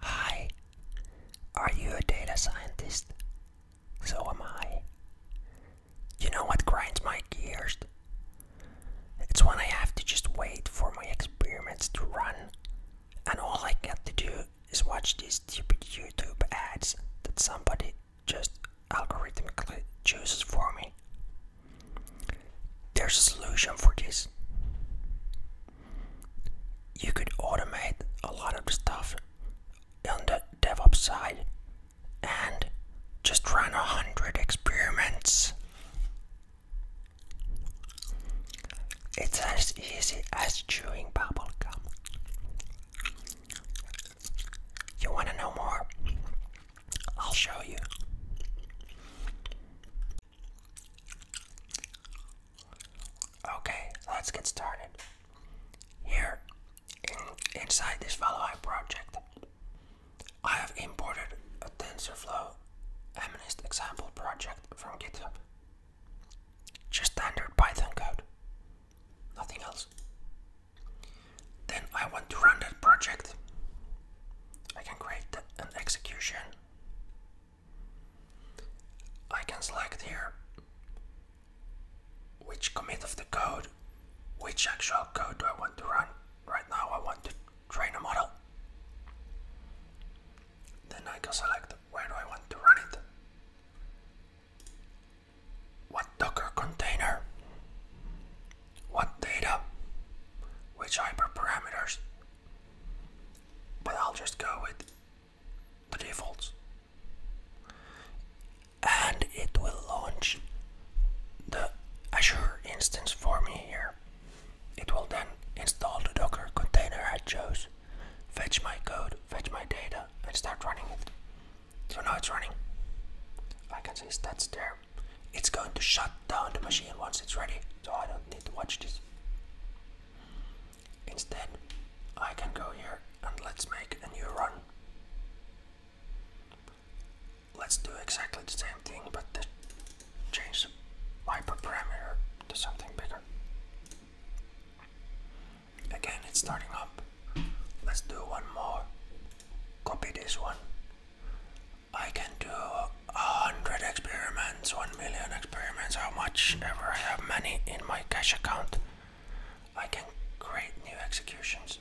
Hi, are you a data scientist? So am I. You know what grinds my gears? It's when I have to just wait for my experiments to run, and all I get to do is watch these stupid YouTube ads that somebody just algorithmically chooses for me. There's a solution for this you could automate a lot of stuff on the DevOps side and just run a hundred experiments. It's as easy as chewing bubble gum. You want to know more? I'll show you. Okay, let's get started. Here, inside this follow Valheim project, I have imported a TensorFlow MNIST example project from GitHub. Just standard Python code, nothing else. Then I want to run that project. I can create an execution I can select here which commit of the code, which actual code do I want to run. Right now I want to train a model. Then I can select where do I want to run it. What Docker container? What data? Which hyperparameters? But I'll just go with the defaults. And it will launch the Azure instance for me here. It will then install the Docker container I chose, fetch my code, fetch my data, and start running it. So now it's running. I can see stats there. It's going to shut down the machine once it's ready, so I don't need to watch this. Instead, I can go here and let's make a new run. Let's do exactly the same thing, but change the hyperparameter to something bigger. Again, it's starting up. Let's do one more. Copy this one. I can do a hundred experiments, one million experiments, how much ever I have money in my cash account. I can create new executions.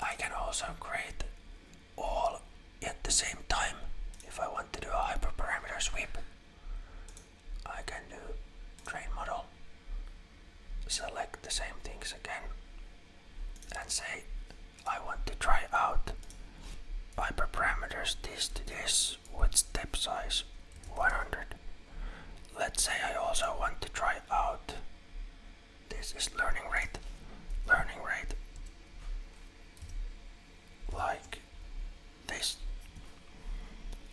I can also create all at the same time. If I want to do a hyperparameter sweep, I can do train model, select the same things again, and say I want to try out hyperparameters. this to this with step size 100. Let's say I also want to try out this is learning rate, learning rate like this.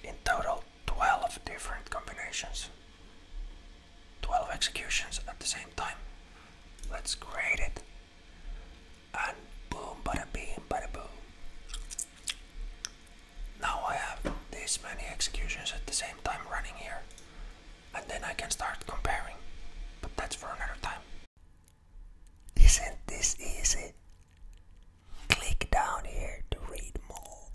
In total, 12 different combinations. 12 executions at the same time. Let's create it. And boom, bada bing, bada boom. Now I have this many executions at the same time running here. And then I can start comparing. But that's for another time. Isn't this easy? Click down here to read more.